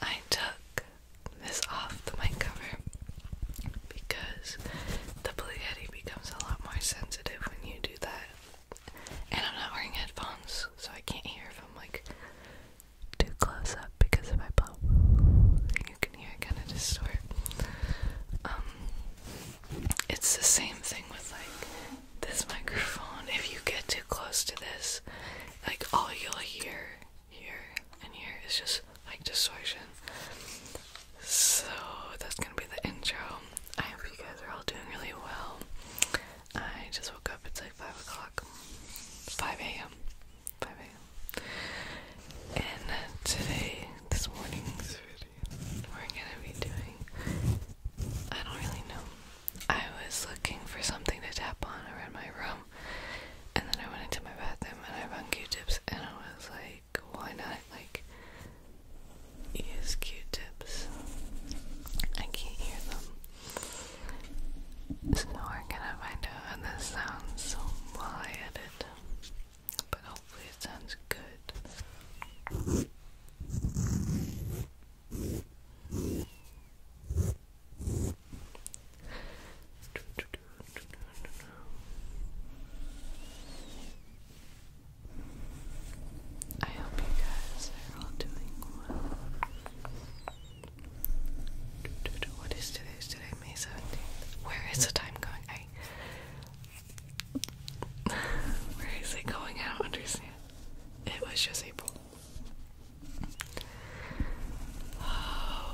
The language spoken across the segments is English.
I took this off the mic cover because the Blue Yeti becomes a lot more sensitive when you do that. And I'm not wearing headphones, so I can't hear if I'm like too close up because if I blow, you can hear it kind of distort. Um, it's the same thing with like this microphone. If you get too close to this, like all you'll hear here and here is just like distortion. So that's gonna be the intro. I hope you guys are all doing really well. I just woke up, it's like 5 o'clock, 5 a.m. 5 a.m. And uh, today, this morning's we're gonna be doing. I don't really know. I was looking for something to tap on around my room, and then I went into my bathroom and I found Q-tips, and I was like, why not? Like, use Q-tips. I can't hear them. So we're gonna find out how this sounds while I edit but hopefully it sounds good. I hope you guys are all doing well. What is today? today May 17th? Where is the time going? Where is it going? I don't understand. It was just April. Oh.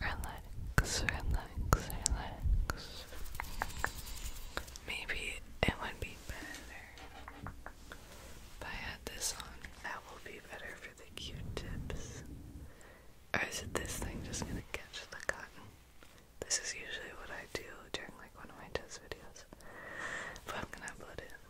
Relax, relax, relax. Maybe it would be better if I had this on. That will be better for the Q-tips. Or is this thing just gonna catch the cotton? This is usually what I do during like one of my test videos. But I'm gonna upload it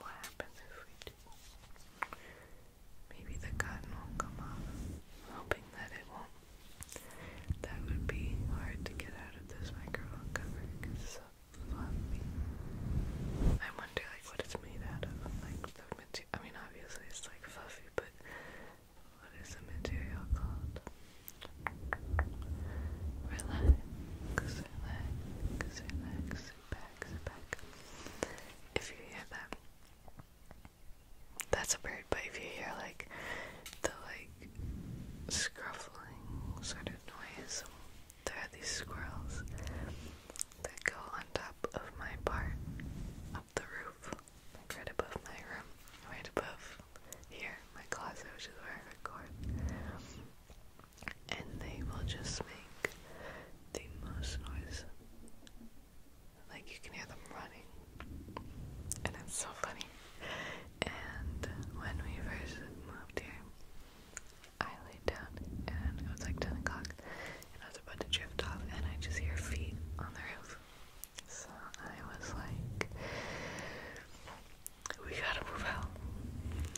What happens if we do? Maybe the cotton won't come off. i hoping that it won't. That would be hard to get out of this microphone it's so fluffy. I wonder like what it's made out of. Like the material. I mean, obviously it's like fluffy, but what is the material called? Relax. If you hear that, that's a bird, but if you hear like the like scruffling sort of noise, there are these squirrels that go on top of my part up the roof, like right above my room, right above here, my closet, which is where I record and they will just make the most noise. Like you can hear them running, and it's so funny. And when we first moved here, I laid down and it was like 10 o'clock, and I was about to drift off, and I just hear feet on the roof. So I was like, we gotta move out.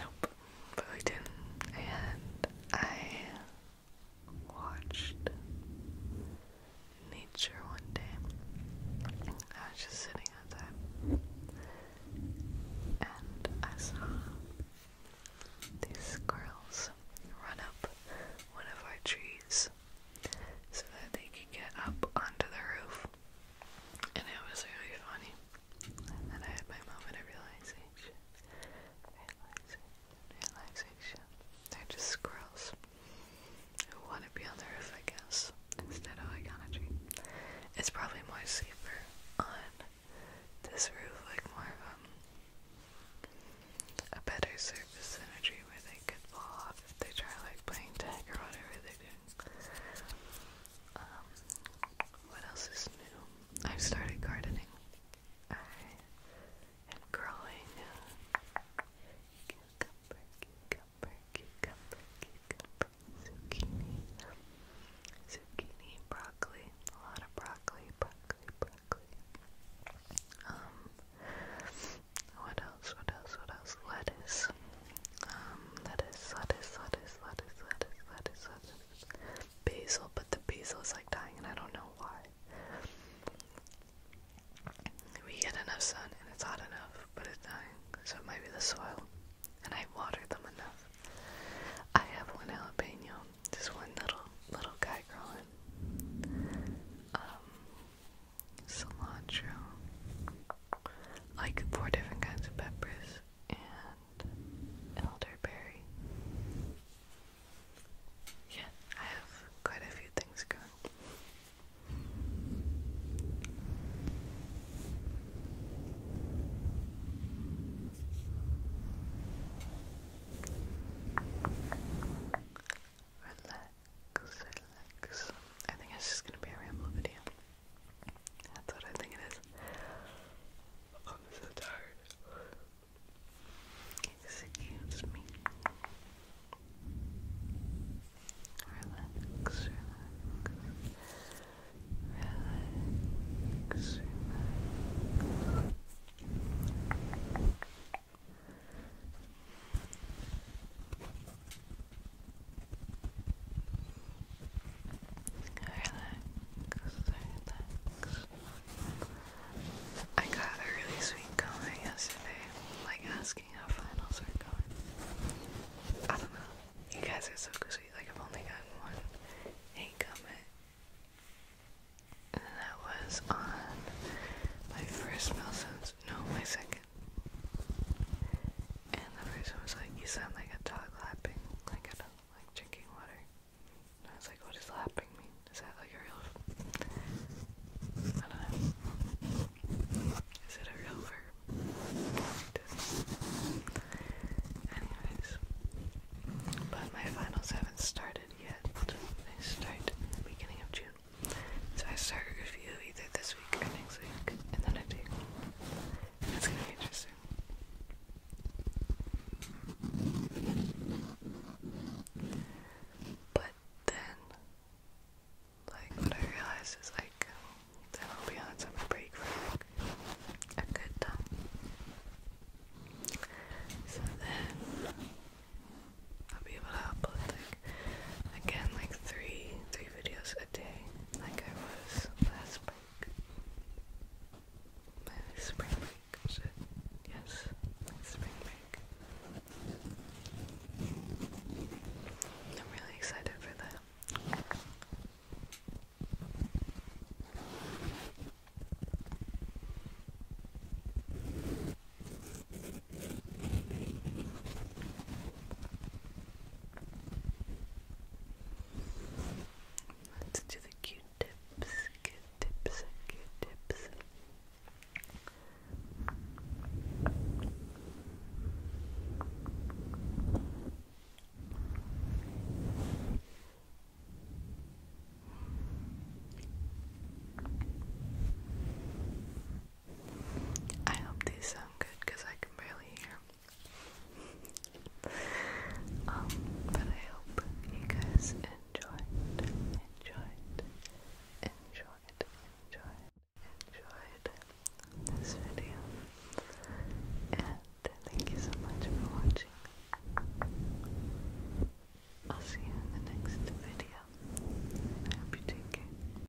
Nope. But we didn't. And I watched nature one day. I was just sitting outside. And I saw these squirrels run up one of our trees so that they could get up onto the roof. And it was really funny. And I had my moment of realization. Realization. Realization. They're just squirrels who want to be on the roof, I guess, instead of iconography. It's probably more safer on this roof, like more of um, a better surface energy where they could fall off if they try like playing tag or whatever they are doing. Um, what else is new? I've started gardening. I am growing cucumber, cucumber, cucumber, cucumber, zucchini, zucchini, broccoli, a lot of broccoli, broccoli, broccoli. Um, what else? What else? What else? Lettuce lettuce. lettuce, lettuce, lettuce, lettuce, lettuce, lettuce. Basil, but the basil is like dying and I don't know why. We get enough sun and it's hot enough, but it's dying, so it might be the soil. And I watered them enough. I have one jalapeno, just one little little guy growing. Um cilantro like four different kinds of peppers and elderberry. Yeah, I have quite a few things going. Relax, relax. I think it's just gonna be a ramble video. That's what I think it is. I'm so tired. Excuse me. Relax, relax. Relax, relax. I got a really sweet comment yesterday, like asking how finals are going. I don't know. You guys are so sweet. Like I've only gotten one hate comment, and that was on my first Melsons. No, my second. And the person was like, You sound like a dog lapping, like a dog, like drinking water. And I was like, What does lapping mean? Is that like a real I don't know. Is it a real verb? Anyways. But my finals haven't started yet. They start at the beginning of June. So I start a review either this shake, and then I take. And gonna be interesting. But then, like, what I realized is, like, then I'll be on summer break for a good time. So then I'll be able to upload like again like three, three videos a day like I was last week. My spring break, Yes, spring break. I'm really excited for that. Let's do the Q tips, Q tips, Q tips. I hope these sound good because I can barely hear. um, but I hope you guys enjoyed, enjoyed, enjoyed, enjoyed, enjoyed this video. And thank you so much for watching. I'll see you in the next video. I hope